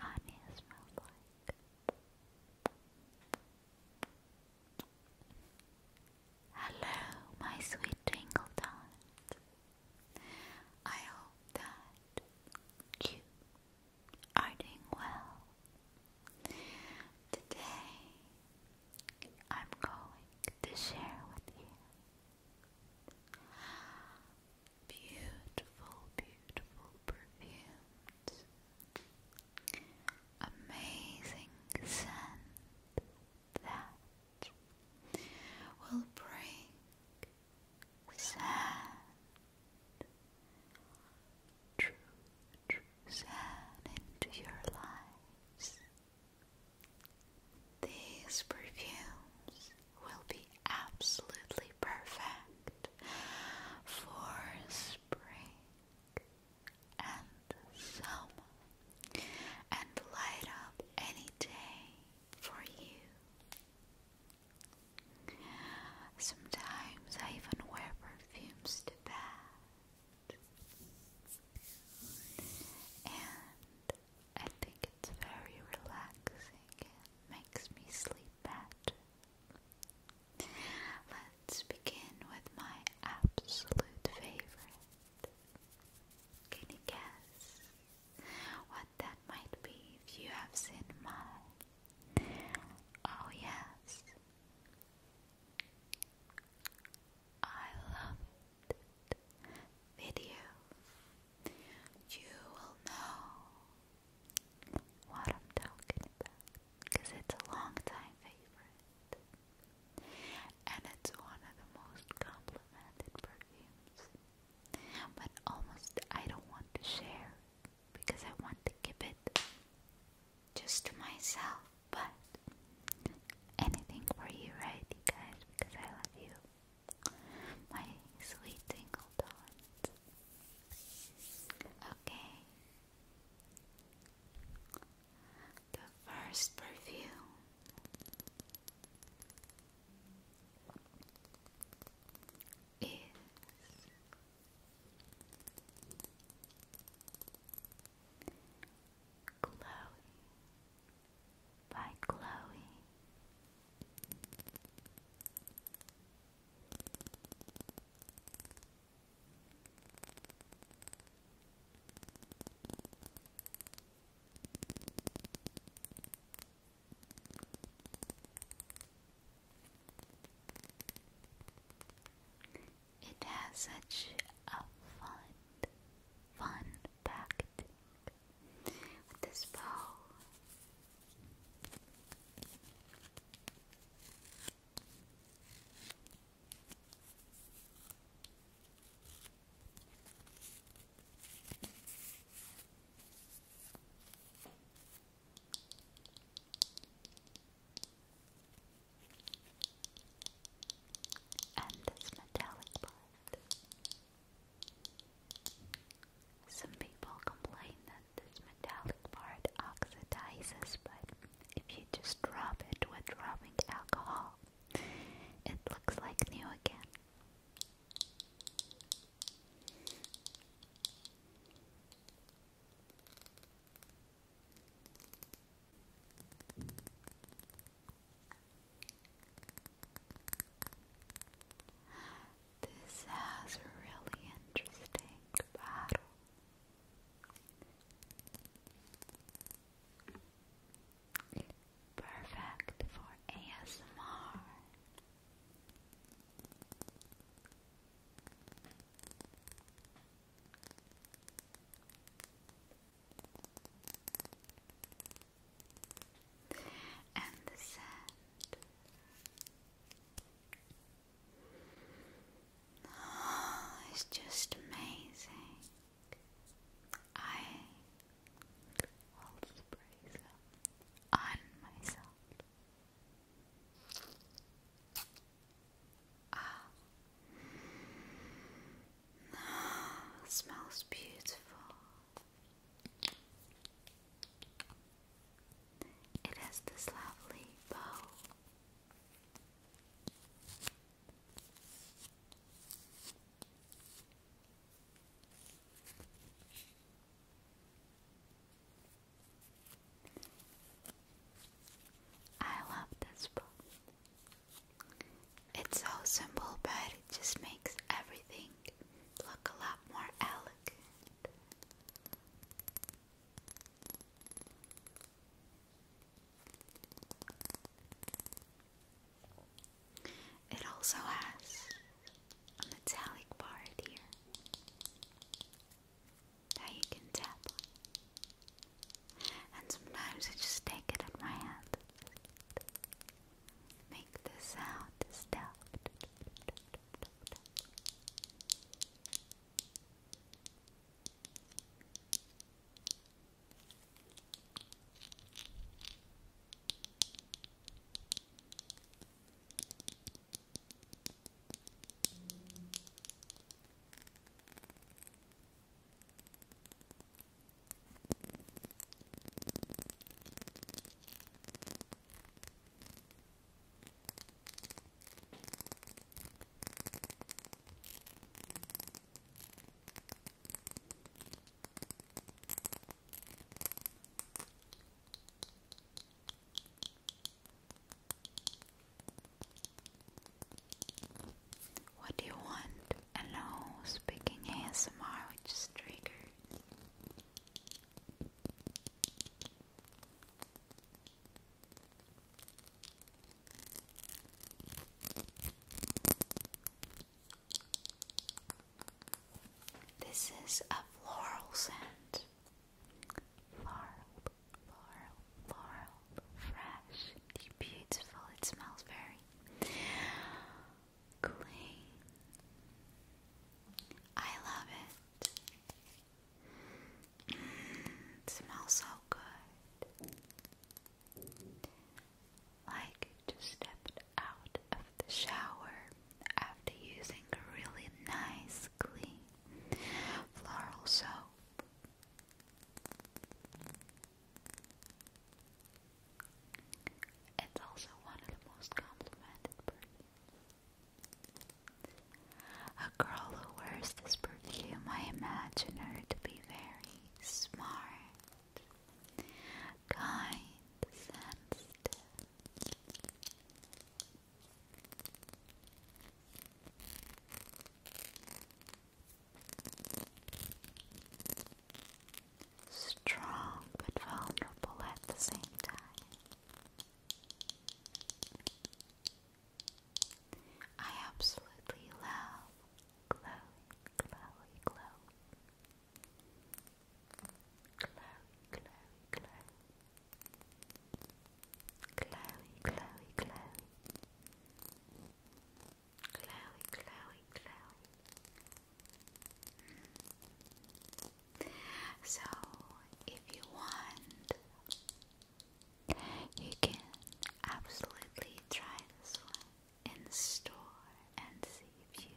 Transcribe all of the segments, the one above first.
Anya Hello, my sweet tingle I hope that you are doing well. Today, I'm going to share with you Beautiful, beautiful perfumes. Amazing scent that will bring sand, true, true sand into your lives. These perfumes will be absolutely perfect for spring and summer and light up any day for you. Sometimes I even wear perfumes to bed. And I think it's very relaxing and makes me sleep better. Let's begin with my absolute favorite. Can you guess what that might be if you have seen mine? Oh, yes. I love video, you will know what I'm talking about because it's a long time favorite and it's one of the most complimented perfumes. But almost I don't want to share because I want to keep it just to myself. But anything for you, right, you guys? Because I love you my sweet tingle Okay. The first perfume. Is Chloe by Chloe. It has such a fun, fun packaging this bow. And this metallic part. Some people complain that this metallic part oxidizes, but if you just drop it with rubbing alcohol, it looks like new again. This has a really interesting battle. Perfect for ASMR and the sand. it's just amazing. I hold the brace on myself. Ah, smells beautiful. It has this lovely bow. I love this book. It's so simple, but it just makes everything look a lot more elegant. It also has a metallic part here that you can tap And sometimes I just take it in my hand make the sound stop. Now what do you want? alone speaking ASMR, which is triggered. This is a floral scent. Floral, floral, floral, fresh, beautiful. It smells very clean. I love it. Mm, it smells so good. Like just stepped out of the shower after using a really nice, clean floral soap. It's also one of the most complimented perfumes. A girl who wears this perfume, I imagine her to be very smart, kind, sensitive strong but vulnerable at the same time. I absolutely love Chloe, Chloe, Chloe. Chloe, Chloe, Chloe. Chloe, Chloe, Chloe, Chloe. So, if you want, you can absolutely try this one in store and see if you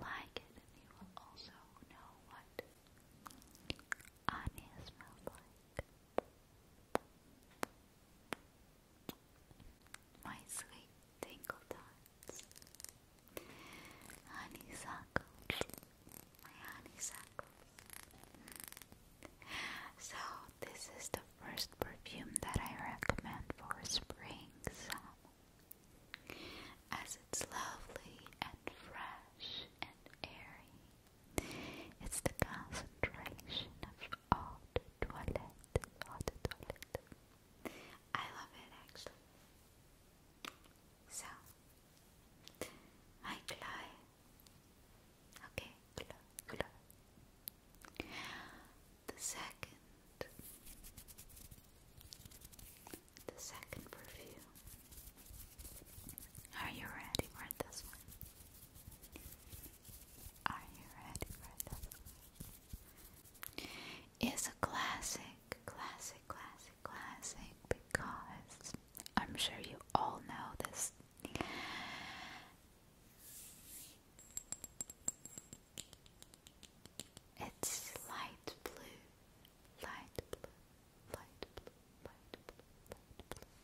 like it, and you will also know what Anya smells like. My sweet tingle Honeysuckle. My honeysuckle. So, this is the first perfume that I recommend for spring As it's lovely and fresh and airy, it's the concentration of Eau de toilette. Eau de toilette. I love it actually. So, my Chloe. Okay, The second, the second perfume. Are you ready for this one? Are you ready for this one? is a classic, classic, classic, classic because I'm sure you all know this. It's light blue, light blue, light blue, light blue, light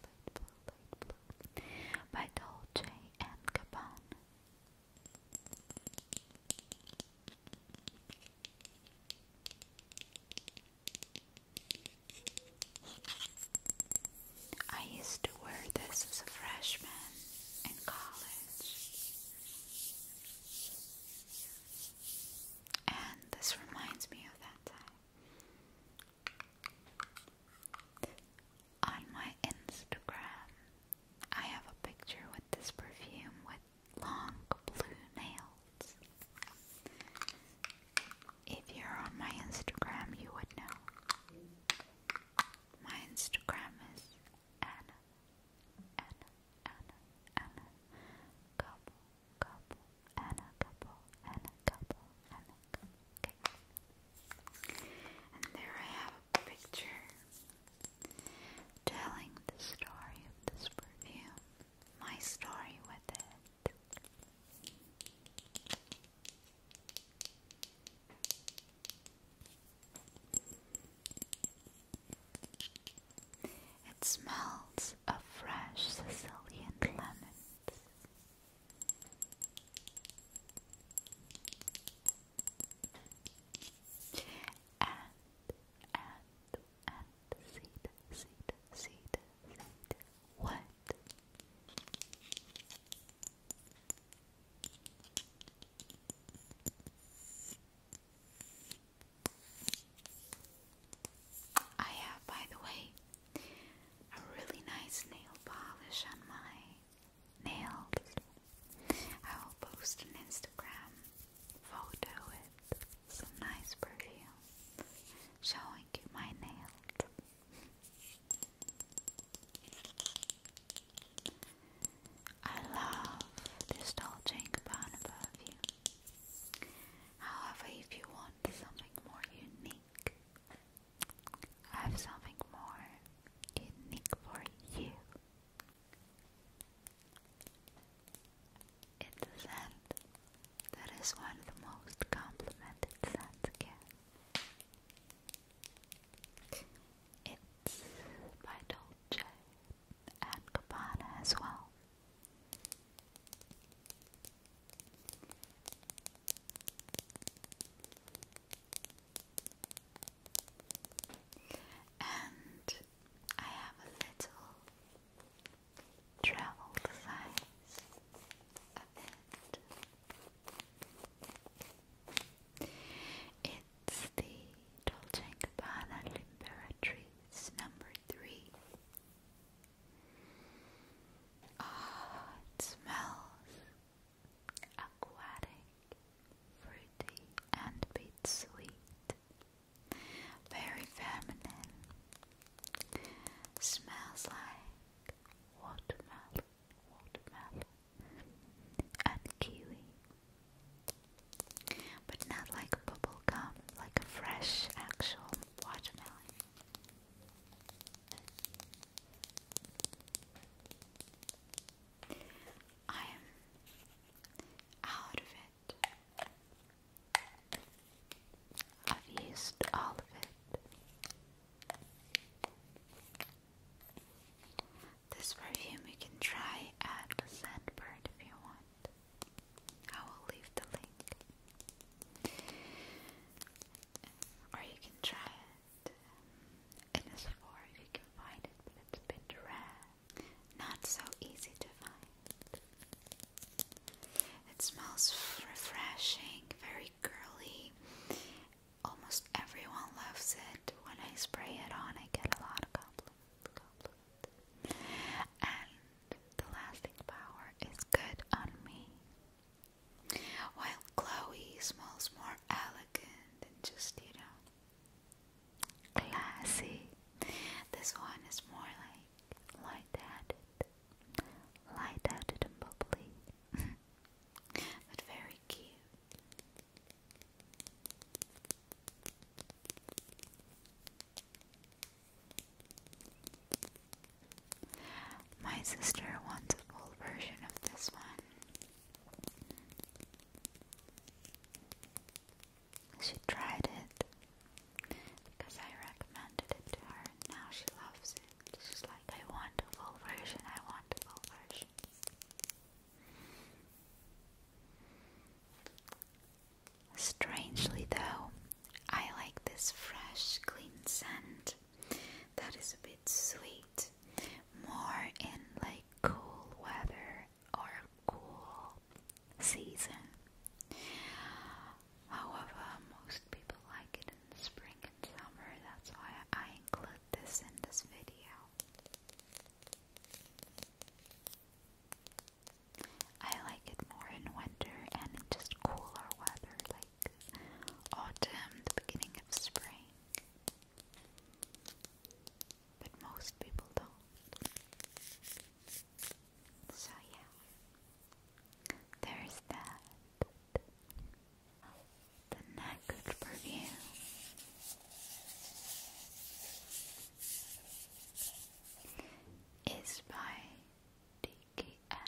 blue, light blue, light blue, light blue by Dolce and Gabbana. I used to wear this as a freshman in college, and this reminds me of that time on my Instagram, I have a picture with this perfume with long blue nails. If you're on my Instagram, you would know. My Instagram is Anna, Anna, Anna, Anna, couple, couple, Anna, couple, Anna, couple, Anna, And there I have a picture telling the story of this perfume, my story with it. It smells of fresh Sicilian lemons and and seed seed seed seed what? I have, by the way, a really nice nail polish on my nails. I will post an Instagram photo with some nice perfume showing you my nails. I love this Dolce & Gabbana perfume. However, if you want something more unique, I have something more unique for you. It's a scent that is one of the most complimented scents again. It's by Dolce and Gabbana as well. And I have a little travel size of it. It's the Dolce & Gabbana Limperatrice number three. Ah, it smells aquatic, fruity, and bit sweet. Very feminine. Smells like watermelon, watermelon, and kiwi. But not like bubble gum, like a fresh actual watermelon. I am out of it. I've used all of it. This perfume you can try at the Sandbird if you want. I will leave the link. Or you can try it um, Innisfor if you can find it, but it's a bit rare. Not so easy to find. It smells refreshing, very girly. Almost everyone loves it. When I spray it on, I get a lot of compliments. compliments. And the lasting power is good on me. While Chloe smells more elegant and just, you know, classy. This one is more like light-headed, light-headed and bubbly, but very cute. My sister wants a full version of this one, she tried it because I recommended it to her now she loves it. She's like, I want a full version, I want a full version. Strangely though, I like this fresh, clean scent that is a bit sweet, more in like cool weather or cool season. However, most people like it in spring and summer, that's why I include this in this video. I like it more in winter and in just cooler weather like autumn, the beginning of spring. But most people don't. So, yeah, there's that. The next perfume. Is by DKNY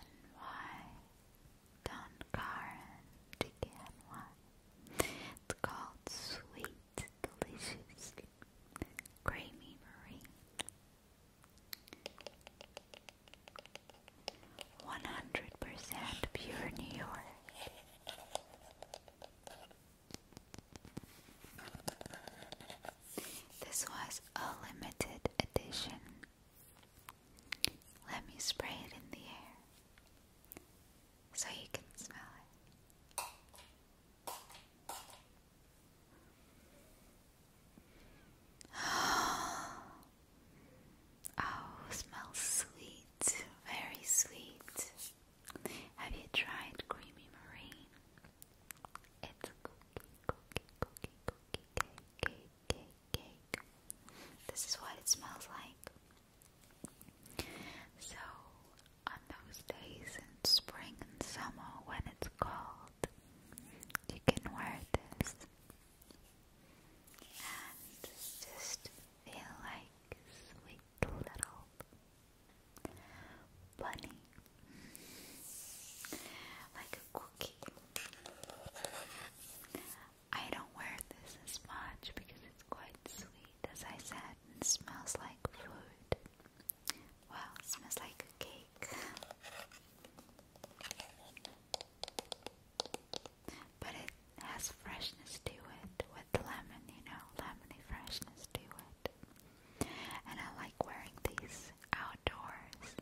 Don DKNY it's called Sweet Delicious Creamy Marie. 100% pure New York. This was a limited edition. Let me spray it in the air so you can smell it. Oh, smells sweet, very sweet. Have you tried creamy marine? It's cookie, cookie, cookie, cookie, cake, cake, cake, cake. This is what it smells like. So, on those days in spring and summer when it's cold, you can wear this and just feel like sweet little bunny, like a cookie. I don't wear this as much because it's quite sweet as I said, and smells like food. Well, smells like a cake. But it has freshness to it with the lemon, you know, lemony freshness to it. And I like wearing these outdoors.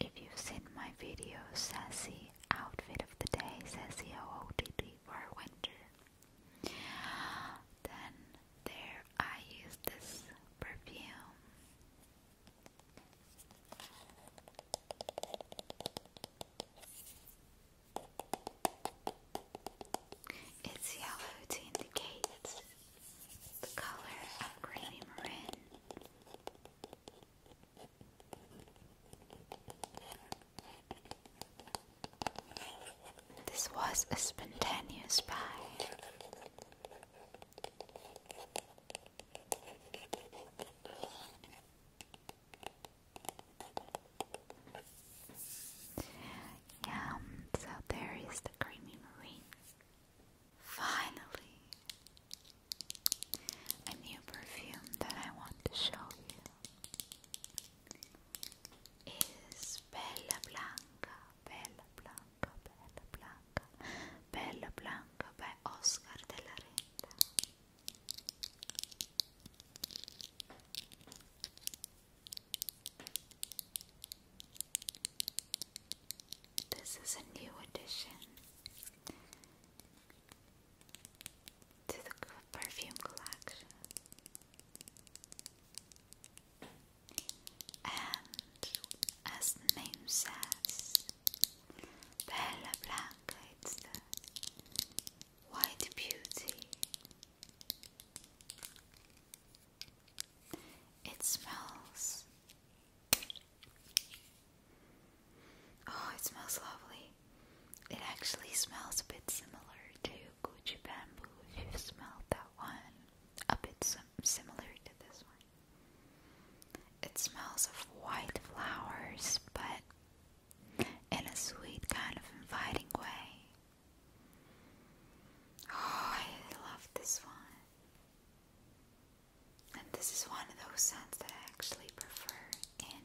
If you've seen my video, Sassy Outfit of the Day, Sassy OOTD for Winter, then there I use this perfume. It's yellow to indicate the color of creamy maroon. This was a spontaneous buy. Yeah, so there is the creamy marine. Finally, a new perfume that I want to show you. Is Bella Blanca, Bella Blanca, Bella Blanca, Bella Blanca bij Oscar de la Renta. This is a new edition. to the perfume collection. And as the name says, Bella Blanca, it's the white beauty. It smells. Oh, it smells lovely. It actually smells a bit similar to Gucci bamboo if you've smelled that one. A bit similar to this one. It smells of white flowers, but in a sweet, kind of inviting way. Oh, I love this one. And this is one of those scents that I actually prefer in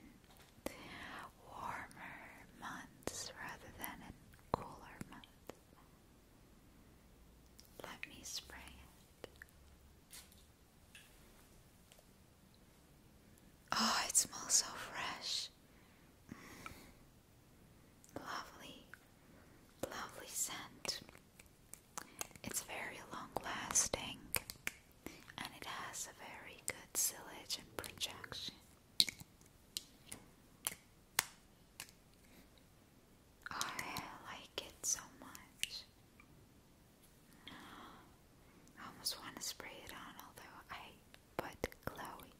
warmer months rather than in cooler months. Let me spray it. Oh, it smells so fresh. Mm. Lovely, lovely scent. It's very long lasting and it has a very good silage and projection. I like it so much. I almost want to spray it on, although I put Chloe.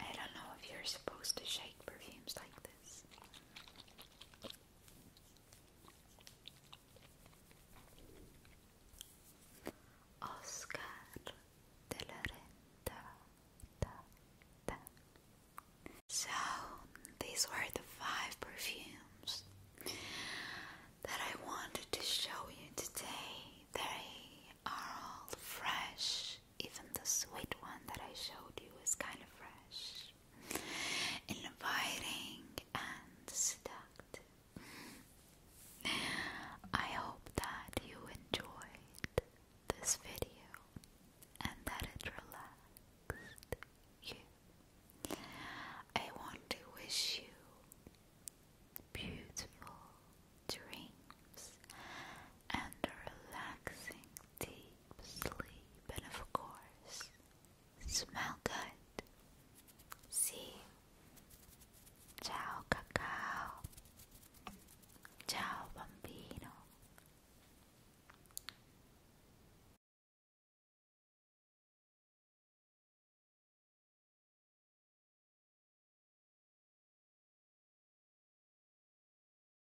I don't know if you're supposed to shake perfumes like this. Oscar De Laurenta. Da, So, these were the five perfumes that I wanted to show you today. They are all fresh even the sweet one that I showed you is kind of fresh, inviting, and seductive. I hope that you enjoyed this video and that it relaxed you. I want to wish you beautiful dreams and a relaxing deep sleep, and of course, smell good. See? Ciao, cacao. Ciao, bambino.